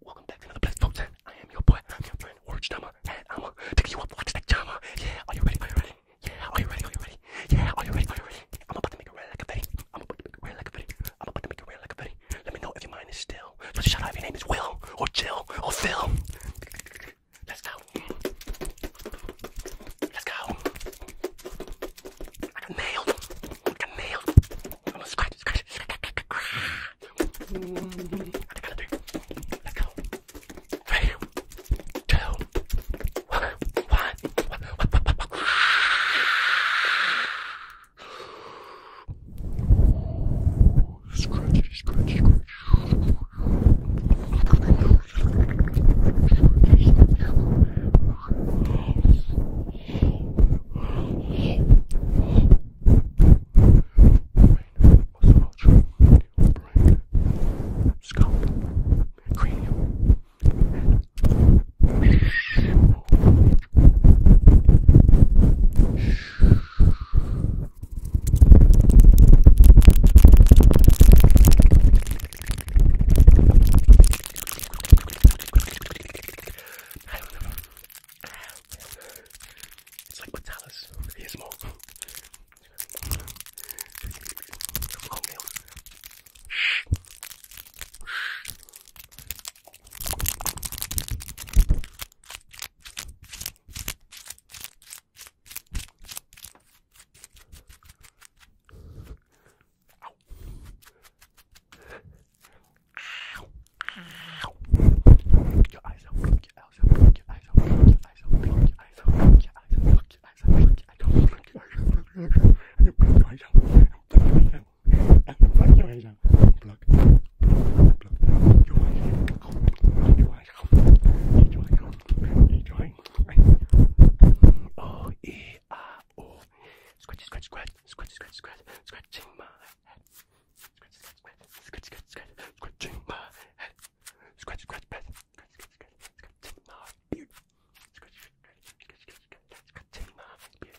Welcome back to another Blessed Folks. I am your boy, I'm your friend, Orange Dama, and I'm gonna take you up, watch that drama. Yeah, are you ready? Are you ready? Yeah, are you ready? Are you ready? Yeah, are you ready? Are you ready? I'm about to make it rain like a betty. I'm about to make it rain like a betty. I'm about to make it rain like a betty. Let me know if your mind is still. Just shout out if your name is Will, or Jill, or Phil. Let's go. Let's go. I got nailed. I got nailed. I'm gonna scratch, scratch, scratch, I gotta do. Let's go. Three, two, one, one, one, one, one, one, one. Scratch, scratch, scratch brain, scalp, cranium, head. Shh. Shh. It's like Patalas. Here's more. Cornmeal. Shh. Shh. Ow. Ow. Your eyes out, look your eyes out, look your eyes out, look your eyes out, look your eyes out, look your eyes out, look your eyes out, look your eyes out, look your eyes out, look your eyes out, look your eyes out, look your eyes out. Block your eyes out. Block. Block. Your eyes out. Your eyes out. Your eyes out. Your eyes out. I, O E I O. Scratch, scratch, scratch, scratch, scratch, scratch, scratching my head. Scratch, scratch, scratch, scratch, scratch, scratch, scratching my head. Scratch, scratch, scratch, scratch, scratch, scratching my beard. Scratch, scratch, scratch, scratch, scratch, scratching my beard.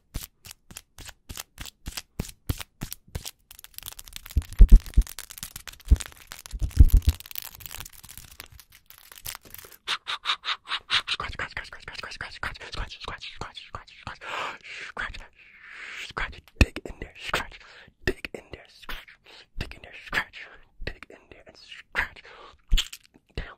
Scratch, dig in there, scratch, dig in there, scratch, dig in there, scratch, dig in there, and scratch down,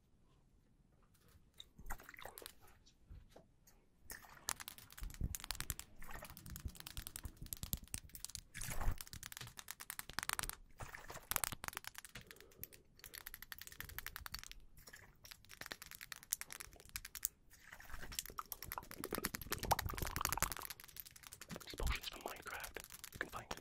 There's potions from Minecraft. You can find it.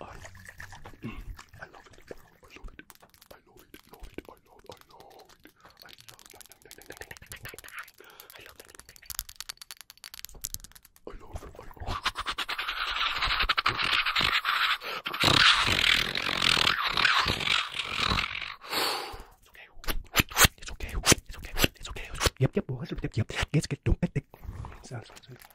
Um, I love it. I love it. I love it. Love it. I love. I love it. I love. I love. I love. I love. I love. I love. It's okay. It's okay. It's okay. It's okay. Yep. Yep. Yep. Yep. Yep. Let's get to it. Sounds good.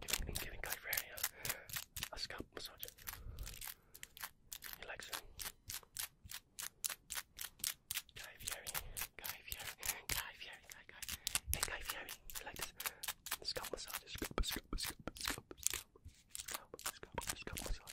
Giving, giving Guy Fieri a, a scalp massage. He likes it. Guy Fieri, Guy Fieri, Guy Fieri, Guy, Guy. Hey, Guy Fieri, you like this? Scalp massage, scalp, scalp, scalp, scalp, scalp, scalp, scalp, scalp massage.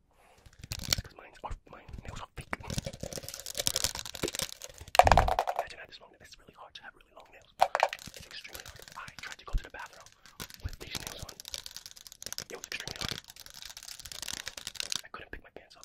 Because mine's are, mine nails are fake. Imagine I had this long nails. It's really hard to have really long nails. It's extremely hard. I tried to go to the bathroom with these nails on. It was extremely hard. I couldn't pick my pants up.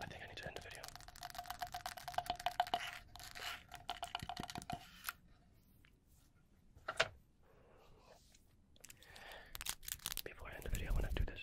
I think I need to end the video. Before I end the video, I want to do this.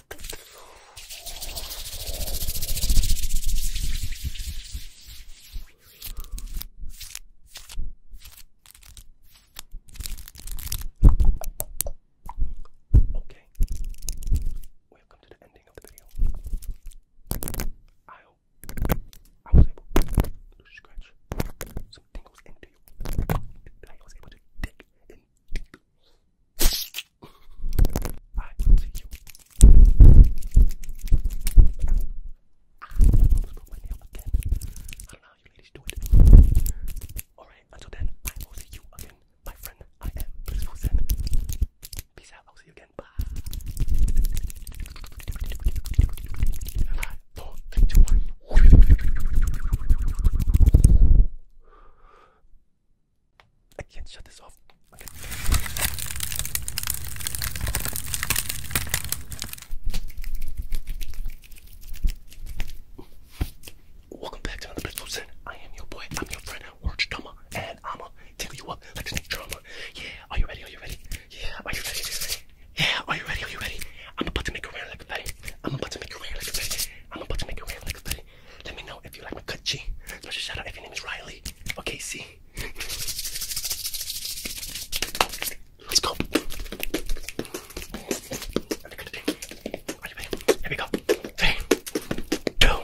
Okay, we have come to the ending of the video. I hope I was able to scratch some tingles into you. I was able to dig and dig I will see you. I'm not put my nail again. I don't know how you ladies do it. Alright, until then, I will see you again. My friend, I am Bliss Wilson. Peace out. I'll see you again. Bye. Five, four, three, two, one. I can't shut this off. Welcome back to another Blissful I am your boy, I'm your friend, Orange Toma, and I'ma tickle you up like snake drama. Yeah, are you ready? Are you ready? Yeah, are you ready? Yeah, are you ready? Are you ready? I'm about to make a rain like a betty. I'm about to make a rain like a betty. I'm about to make a rain like a betty. Let me know if you like my cutchy. Special shout out if your name is Riley. Okay, C. Let's go. Here we go. Three, two, one,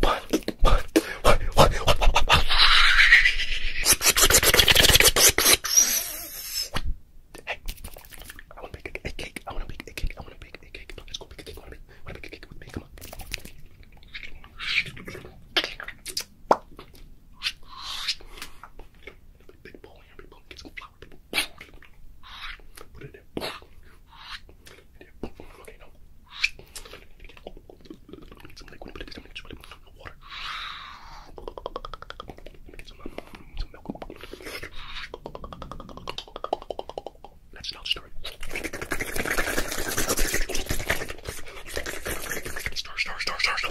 one, one, one, one, one, one, one. Hey, I wanna bake a cake. I wanna bake a cake. I wanna bake a cake. Let's go bake a cake. Wait, wait, wait, wait with me. Come on. Big bowl here, big bowl. Get some flour. Big bowl. Put it in there. Okay, no. Let me get some liquid. Put it down. Just put it in water. Let me get some, um, some milk. Oh, let's not start. Star, star, star, star, star.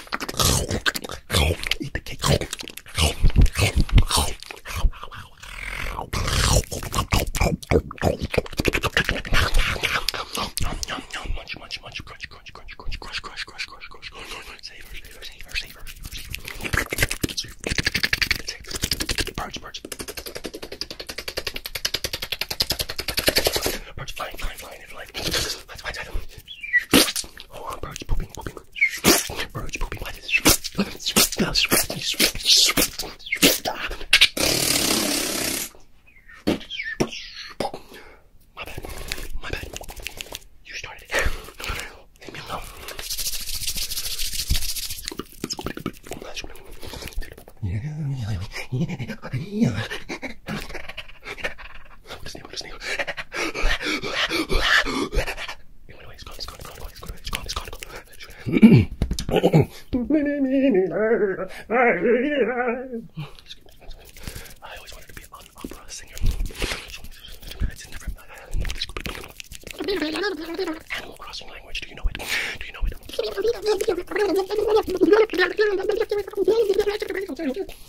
Eat the cake. Munch, munch, munch, crunch, crunch, crunch, crunch, crush, crush, crush, crush, crush, crush, savor, savor, savor, savor, savor. Birds, birds. Birds flying, flying, flying, flying like that's why I don't Oh I'm birds pooping pooping birds pooping what is my bad, my bad. You started it. Leave me alone. Yeah, yeah, yeah. What is new? What is new? It went away. It's gone. It's gone. It's gone. It's gone. It's gone. It's gone. It's gone. I always wanted to be an opera singer. It's never. Animal Crossing language. Do you know it? Do you know it?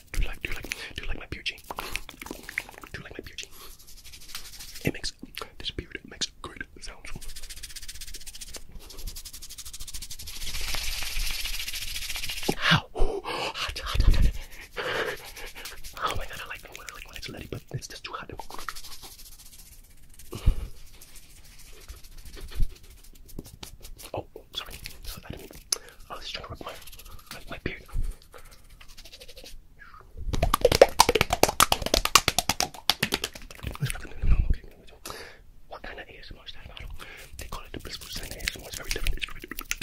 Do you like, do you like, do you like my beard, Jane? Do you like my beard, Jane? It makes, this beard makes great sounds. How? Oh, my god, I like, I like when it's leady, but it's just too hot. Oh. Oh, sorry. I didn't mean. I was trying to rub my, my, my beard. Okay, what kind of ASMR is that? I don't. They call it the blissful slang ASMR. It's very different. It's very different.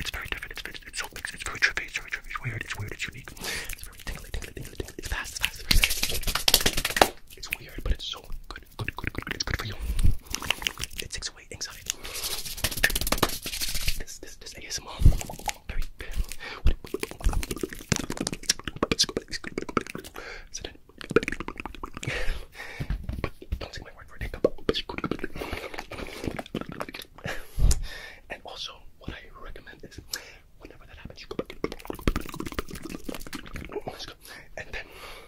It's very different. It's very, it's so mixed. It's very trippy. It's very trippy. It's weird. It's weird. It's unique. It's very tingly, tingly, tingly, tingly. It's fast. It's fast. It's fast. It's weird, but it's so good. It takes away anxiety. This, this, this ASMR. don't take my word for it. And also, what I recommend is whenever that happens, you go back and then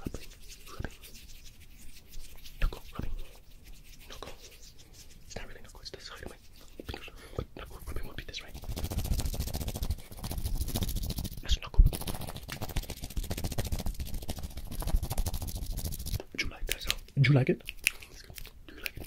rubbing, rubbing, knuckle rubbing, knuckle. It's not really knuckle, it's the side of my fingers, but knuckle rubbing won't be this right. That's knuckle rubbing. Would you like that sound? Would you like it? Do you like it? Do you like it?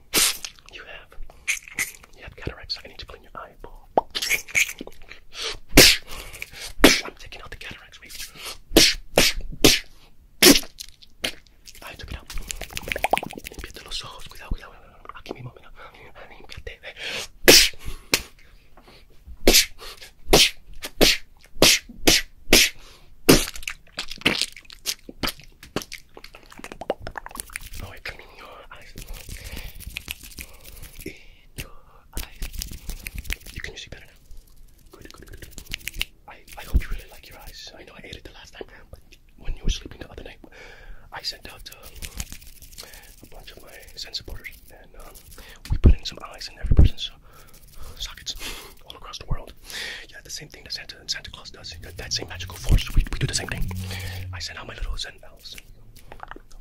You have. You have cataracts. I need to clean your eyeball. I'm taking out the cataracts, baby. I took it out. Limpiate los ojos. Cuidado, cuidado. Aquí mismo, mira. Límpiate. Oh, no, can see better now. I, hope you really like your eyes. I know I ate it the last time, but when you were sleeping the other night, I sent out um, a bunch of my Zen supporters, and um, we put in some eyes in every person's uh, sockets all across the world. Yeah, the same thing that Santa, Santa Claus does. That, same magical force. We, we do the same thing. I sent out my little Zen uh, house.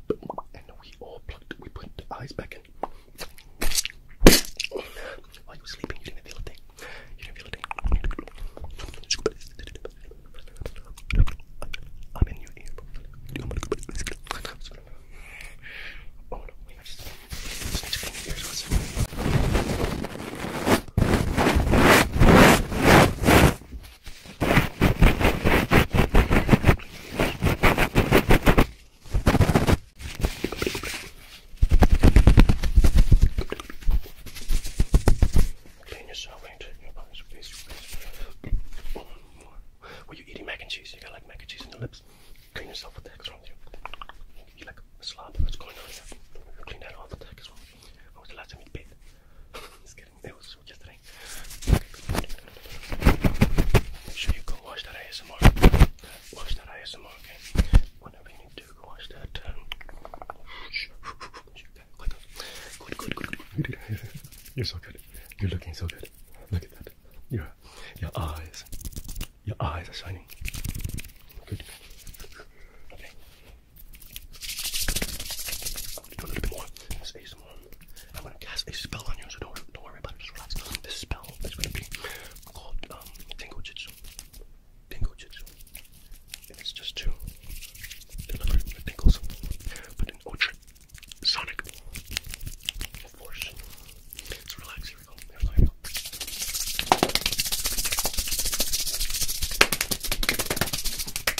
And we all plugged, we put the eyes back in. While you were sleeping, you didn't feel a thing. You didn't feel a thing. I'm in your ear. Oh no, wait, I just, just need to clean your ears once. Clean yourself, ain't it? Your eyes, please, please. One more. Were you eating mac and cheese? You got like mac and cheese in your lips. Clean yourself. What the heck's wrong with you? You like a slob? What's going on Clean that off. What the heck is wrong was the last time you bathed? getting bills Make sure you go watch that ASMR. Watch that ASMR, okay? Whenever you need to, go watch that. Um... Good, good, good, good. You're so good. You're looking so good. Look at that. Your, your eyes. Your eyes are shining. Good. Okay. Do a little bit more. Let's ASMR. I'm gonna cast a spell on you, so don't, don't worry about it. Just relax. This spell is gonna be called um, Tengo Jitsu. Tengo Jitsu. And it's just to deliver the tingles with an ultra sonic force. let relax.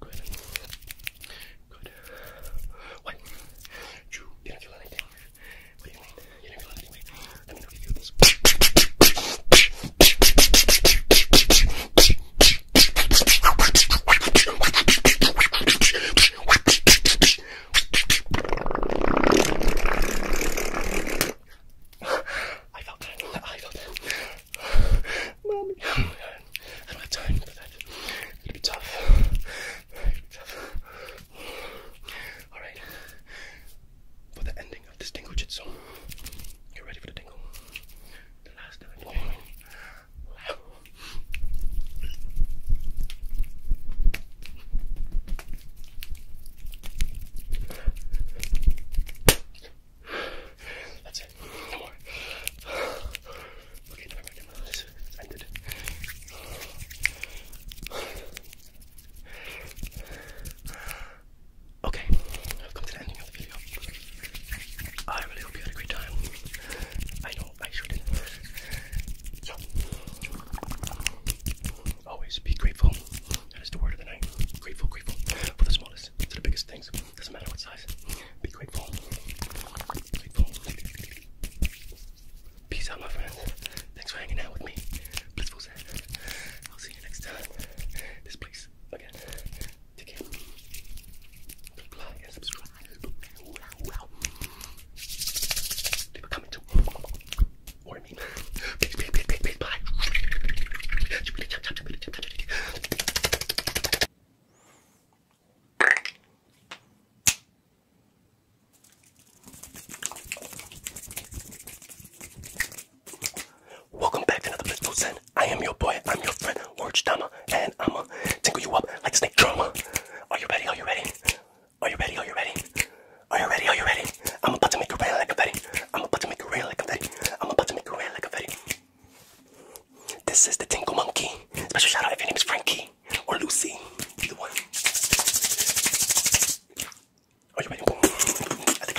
Good. Good. What? You didn't feel anything. What do you mean? You didn't feel anything. Let me know if you feel this. I felt that. I felt that. Mommy, I don't have time for that. It'll be tough. Alright. For the ending of this tingle jitsu, get ready for the tingle. The last time. Oh. That's it. No more. Okay, never I've come you had time. I know I sure always be grateful. That is the word of the night. Grateful, grateful for the smallest to the biggest things. Doesn't matter what size. Be grateful. Peace out, my friends. Thanks for hanging out with me. Blissful Zen. I'll see you next time. This place again. Take care. Click subscribe. Leave a comment too. Or I mean, bye. Welcome back to another Blissful Zen. I am your boy, I'm your friend, Orange Dama, and I'ma tingle you up like snake drama. Are you ready? Are you ready? Are you ready? Are you ready? Are you ready? Are you ready? I'm about to make you real like a Betty. I'm about to make you real like a Betty. I'm about to make you real like a Betty. This is the Tinkle Monkey. Special shout out if your name is Frankie or Lucy. Are oh, you ready? I think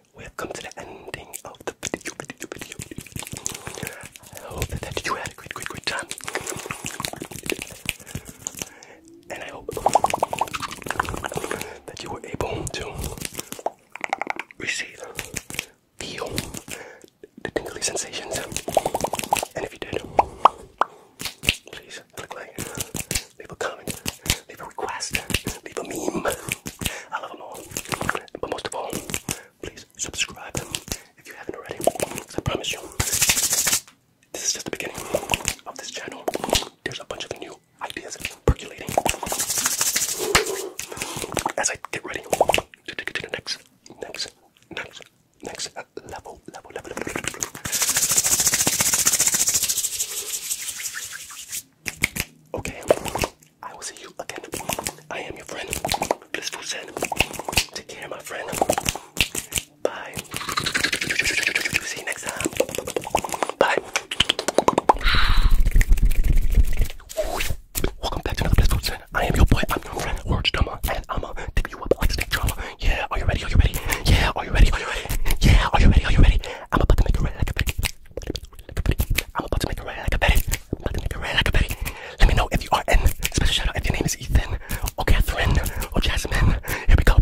we have come to the ending of the video, video. I hope that you had a great, great, great time. And I hope that you were able to receive, feel the tingly sensations. And if you did, please click like, leave a comment, leave a request, leave a meme. I love them all. But most of all, please subscribe if you haven't already. I promise you, this is just the beginning of this channel. There's a bunch of new ideas percolating as I get ready to take it to the next, next, next, next level, level, level, level. Okay, I will see you again. I am your friend, Blissful Zen. Take care, my friend. Bye. See you next time. Bye. Welcome back to another Blissful Zen. I am your boy, I'm your friend, Orange Drummer, and I'm a take you up like snake drama. Yeah, are you ready? Are you ready? Yeah, are you ready? Are you ready? Yeah, are you ready? Are you ready? I'm about to make you ready like a pig. I'm about to make a rant like a Betty. I'm about to make a rant like a Betty. Let me know if you are in. Special shout out if your name is Ethan or Catherine or Jasmine. Here we go.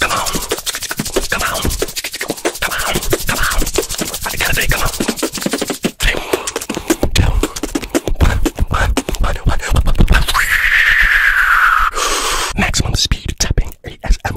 Come on. Come on. Come on. Come on. I gotta say, come on. Three, two, one, one, one, one, one, one, one, one. Maximum speed speed tapping ASMR.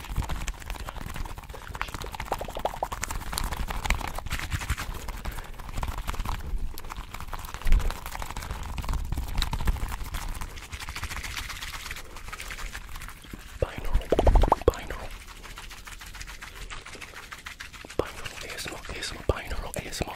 Binaural, binaural, binaural, ASMR, ASMR, binaural, ASMR.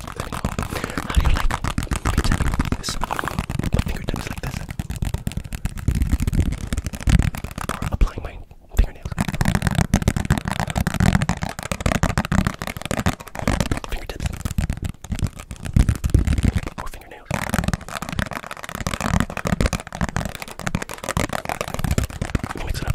Anyhow, how do you like me tapping like this? My fingertips like this? Or applying my fingernails? Fingertips? Or fingernails? Mix it up.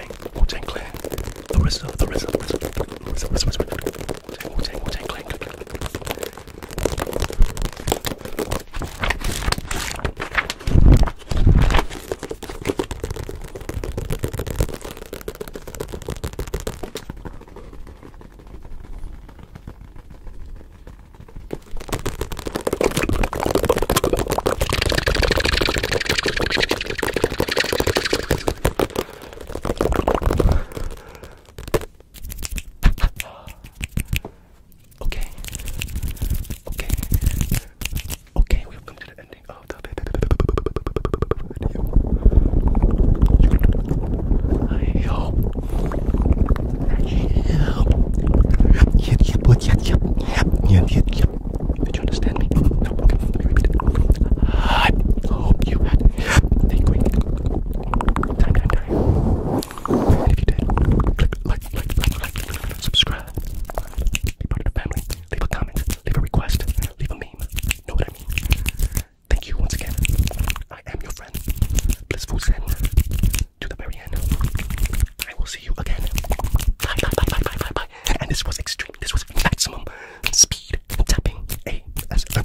Wu-Tang, Wu-Tang Clan, the RZA, the RZA, RZA, RZA, RZA, RZA, RZA, Wu-Tang, Wu-Tang Clan. Okay. Okay. Okay, we've come to the ending of the video. I hope that you did you understand me? I hope you had a great time, time, time. if you did, click like, like, like, like, subscribe, be part of the family, leave a comment, leave a request, leave a meme, know what I mean? Thank you once again. I am your friend, Blissful Zen, to the very end. I will see you again. Bye, bye, bye, bye, bye, bye, bye. And this was extreme. This was maximum speed tapping. A S. Bye,